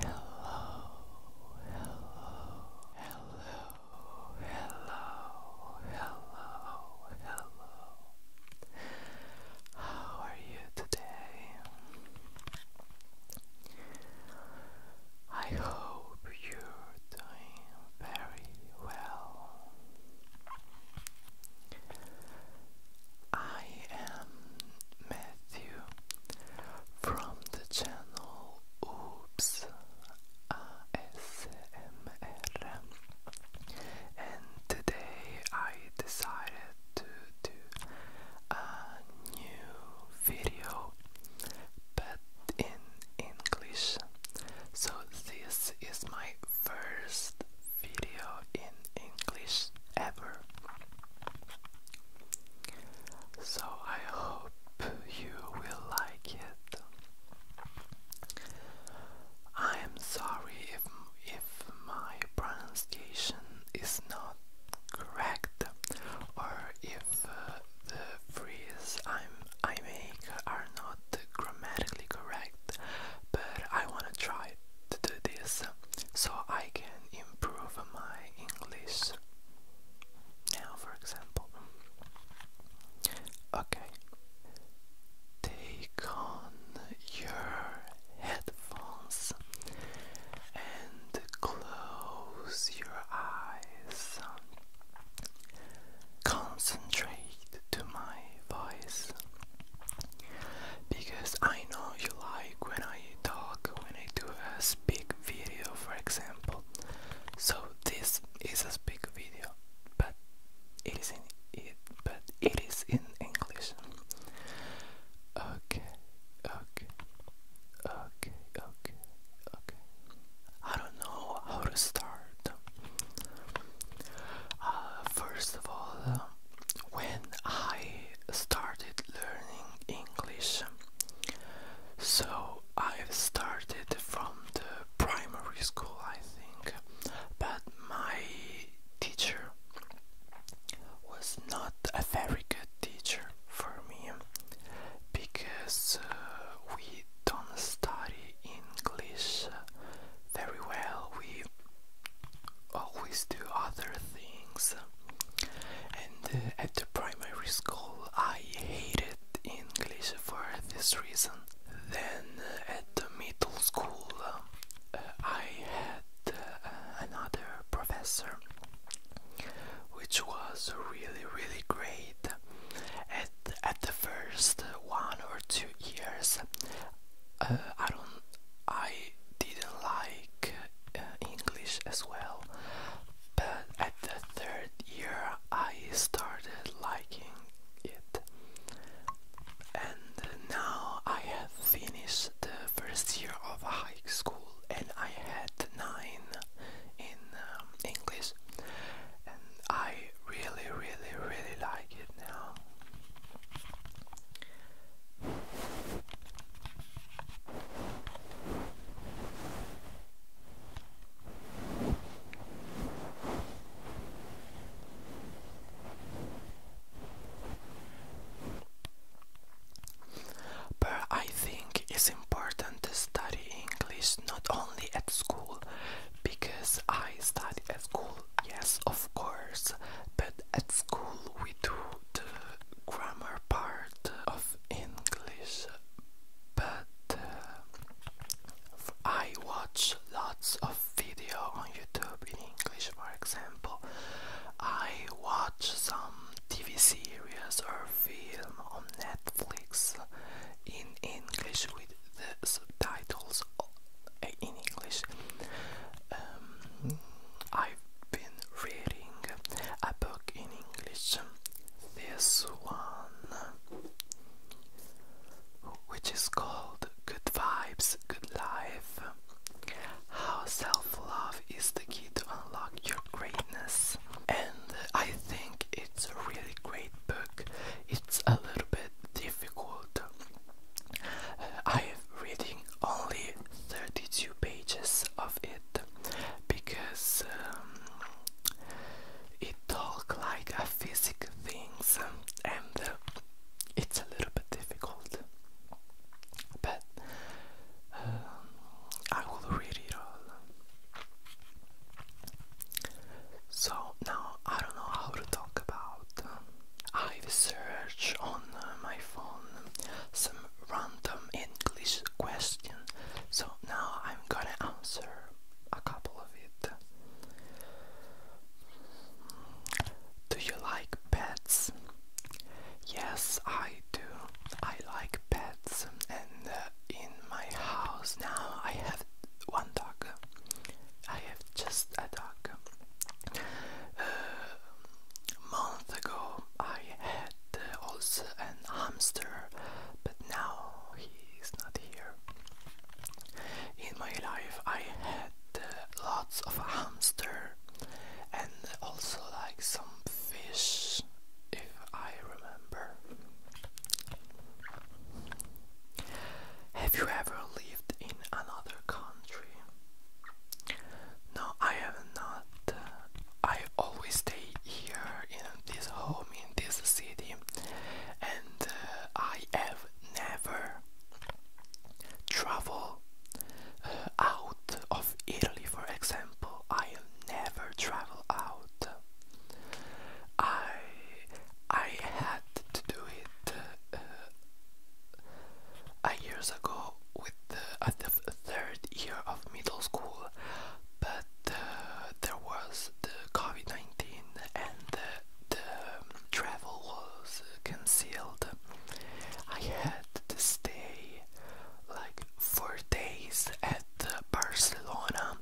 hello, hello. How are you today? I hope you're doing very well. I am Matthew from the channel Oops ASMR and today I decided to do a new video but in English so this is my first video in English ever. So I hope you will like it. I am sorry if if my pronunciation is not correct or if uh, the phrases I'm, I make are not grammatically correct, but I wanna try to do this so I can improve my English. Now, for example, okay, take on your headphones and close your eyes concentrate to my voice because I know you like when I talk when I do a speak video for example so this is a speak video but it is in it but it is in English okay okay okay okay, okay. I don't know how to start. Uh, first of all, when I started learning English, so I've started from the primary school, I think, but my teacher was not a very good teacher for me because uh, we don't study English very well. We always do other things. And at the primary school, I hated English for this reason. Then at the middle school, uh, I had uh, another professor which was really really great. At at the first one or two years, uh, I don't I didn't like uh, English as well, but at the third year I started liking it, and now I have finished the first year of high school and I had nine in um, English, and I really, really, really like it now. But I think it's important to study English not only at school, because I study at school, yes, of course, but at school we do the grammar part of English. But uh, I watch lots of video on YouTube in English, for example. I watch some TV series or film on net. Netflix in English with the subtitles uh, in English. Um, I've been reading a book in English, this one, which is called Good Vibes, Good Life How Self Love is the Key to Unlock Your Greatness and I think it's a really great book. It's a little bit difficult. Uh, I have reading only 32 pages of it because um, it talks like a physic things and uh, it's a little bit difficult. But I will read it all. So now I don't know how to talk about. Um, I've searched on uh, my phone some random English question. So now I'm gonna answer a couple of it. Do you like pets? Yes, I do. I like pets, and uh, in my house now I have one dog. I have just a dog. A uh, month ago I had also an hamster, but now he is not here. In my life I had uh, lots of hamster and also like some fish, if I remember. Have you ever lived in another country? No, I have not. I always stay here in this home, in this city, and uh, I have never traveled uh, out of Italy, for example. I'll never travel out. I I had to do it uh, a years ago with the, at the third year of middle school, but uh, there was the COVID nineteen and the, um, travel was uh, concealed. I had to stay like four days at Barcelona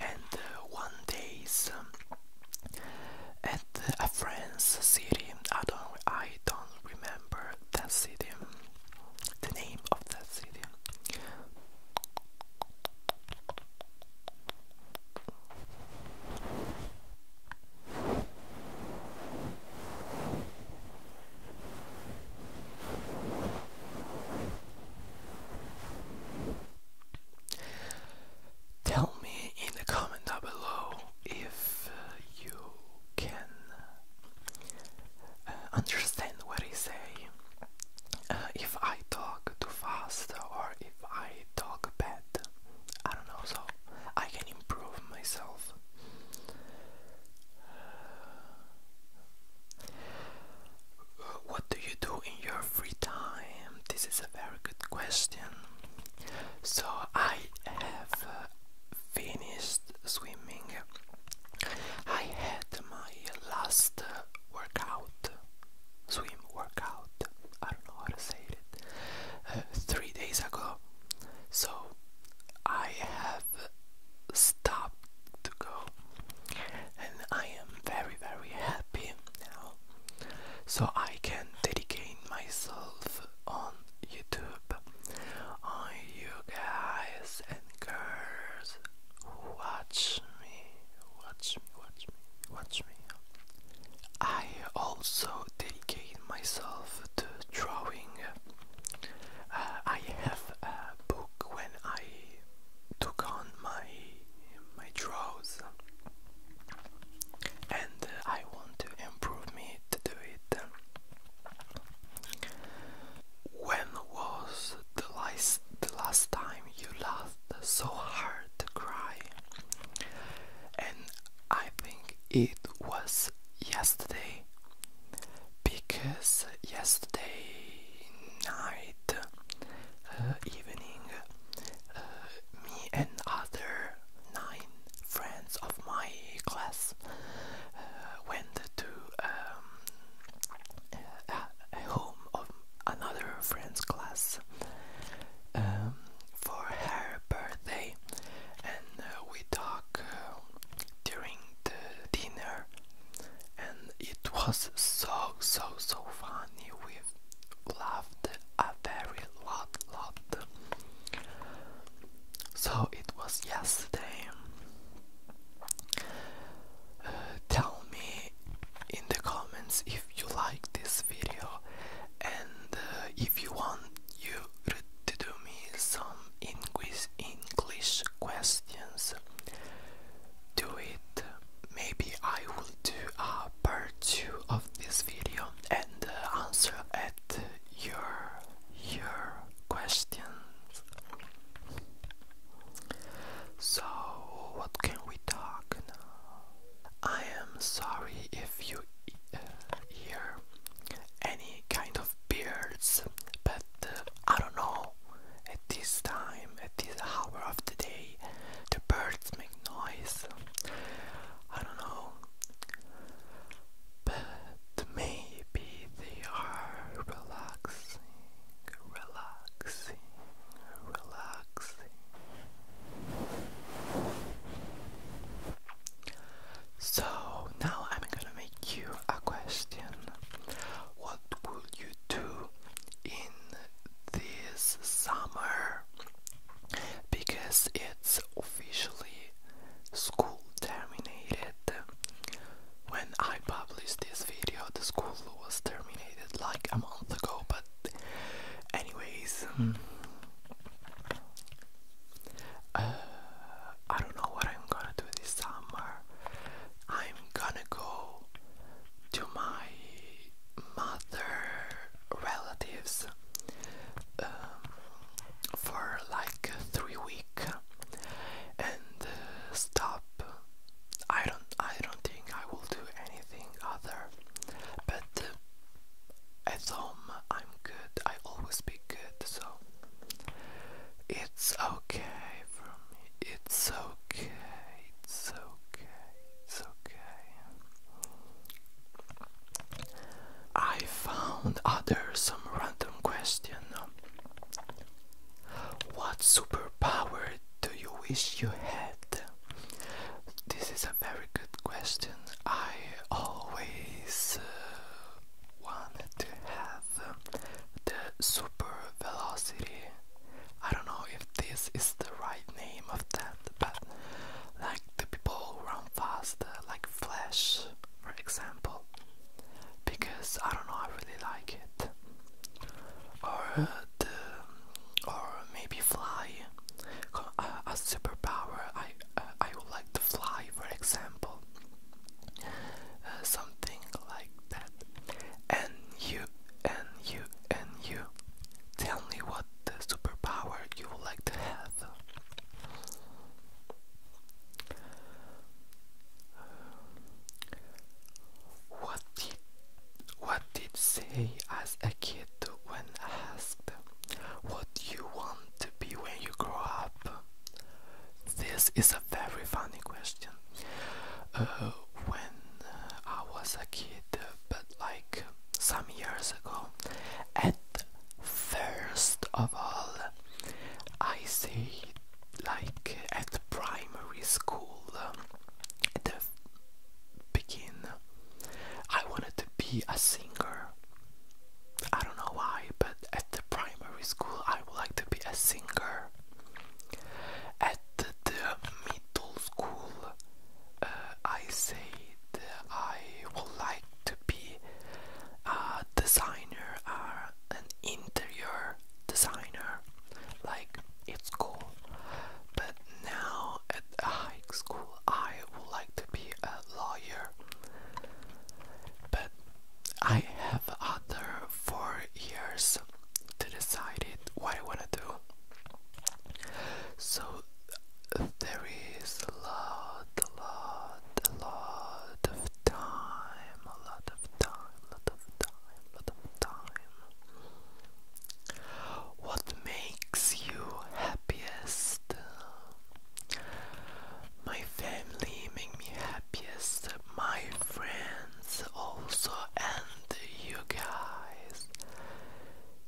and uh, one days um, at a France city. I don't I don't remember that city. Um, the name of that city. Tell me in the comment down below if uh, you can uh, understand what I say. Uh, if I talk too fast or if I talk bad, I don't know. So I can improve myself. What do you do in your free time? This is a very good question. So, I have uh, finished swimming. I had my last uh, workout, swim workout, I don't know how to say it, uh, three days ago. So, I have stopped to go and I am very very happy now so I can dedicate myself on YouTube on you guys and girls who watch me watch me watch me watch me I also dedicate myself to drawing. Uh, I have a book when I took on my my draws, and uh, I want to improve me to do it. When was the last the last time you laughed so hard to cry? And I think it was yesterday because yesterday night uh, evening uh, me and other nine friends of my class uh, went to a um, home of another friend's class um, for her birthday, and uh, we talk uh, during the dinner, and it was so so so funny. We laughed a very lot lot. So it was yesterday. Uh, tell me in the comments if you like this video and if you want you to do me some English, English questions. Do it. Maybe I will do a part two of this video and uh, answer at your your questions. So what can we talk now? I am sorry if you uh, here any kind of beards, but uh, I don't know. At this time, at this hour of the day, the birds make noise. I don't know, but maybe they are relaxing, relaxing, relaxing. So now I'm gonna make you a question. What would you do in this summer? Because it's officially school terminated. When I published this video, the school was terminated like a month ago, but Anyways, uh, I don't know what I'm gonna do this summer. I'm gonna go to my mother relatives um, for like three week and uh, stop. I don't. I don't think I will do anything other, but. Uh, at home I'm good, I always be good, so it's okay for me, it's okay, it's okay, it's okay. I found other some random question. What superpower do you wish you had? This is a very good question. I always uh, wanted to have uh, the super velocity. I don't know if this is the right name of that, but like the people run fast, like Flash, for example, because I don't know, I really like it. Or hmm. Uh, or maybe fly uh, a superpower I uh, I would like to fly for example something like that and you and you and you tell me what the superpower you would like to have what what did, what did say as a kid when asked what do you want to be when you grow up? This is a very funny question. Uh, when uh, I was a kid, but like some years ago, at first of all, I say like at primary school, at the begin I wanted to be a singer. I don't know why, but at the primary school, I would like to be a singer. At the, middle school, uh, I said I would like to be a designer, uh, an interior designer like it's cool. But now at high school, I would like to be a lawyer. But I have other four years to decide it, what I wanna do. So there is a lot, a lot, a lot of time, a lot of time, a lot of time lot of time. What makes you happiest? My family make me happiest, my friends also, and you guys.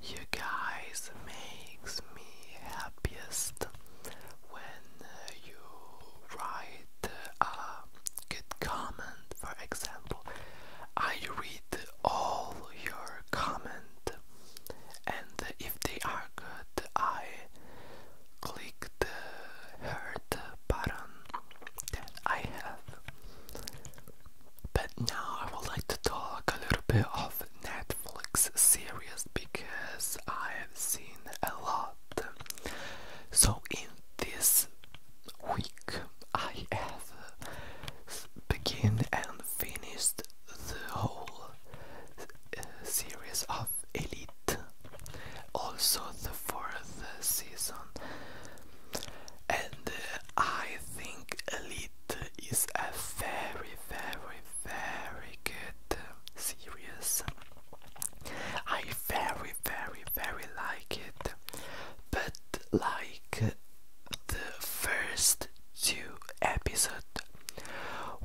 You guys makes me happiest when you write a good comment. For example, I read all your comment and if they are good I click the heart button that I have. But now I would like to talk a little bit of Netflix series because I have seen a lot. So in this week I have begin and finished the whole uh, series of Elite, also the fourth season, and uh, I think Elite is a very, very, very good series. I very, very, very like it, but like the first two episodes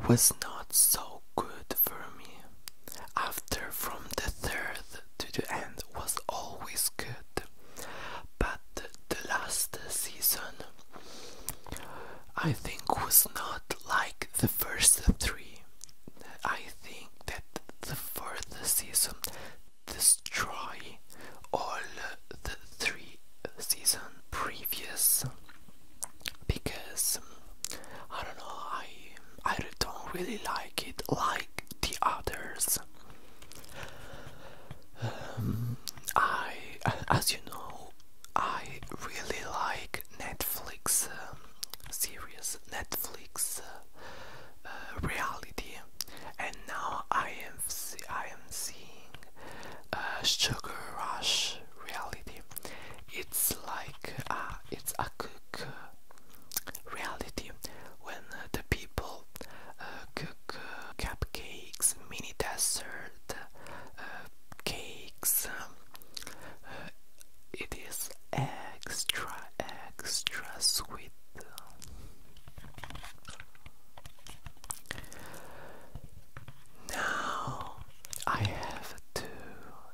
was not so good for me. After from the third to the end was always good, but the last season I think was not like the first three. I think that the fourth season destroy all the three seasons previous because I don't know I I don't really like it like the others. Um, I as you know I really like Netflix um, series Netflix uh, reality and now I am I am seeing a sugar rush reality it's like uh, it's a cook reality when the people uh, cook uh, cupcakes mini dessert uh, cakes it is extra extra sweet now I have to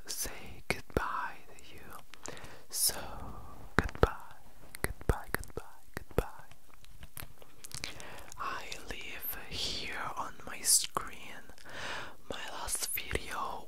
say goodbye to you so goodbye goodbye goodbye goodbye I leave here on my screen my last video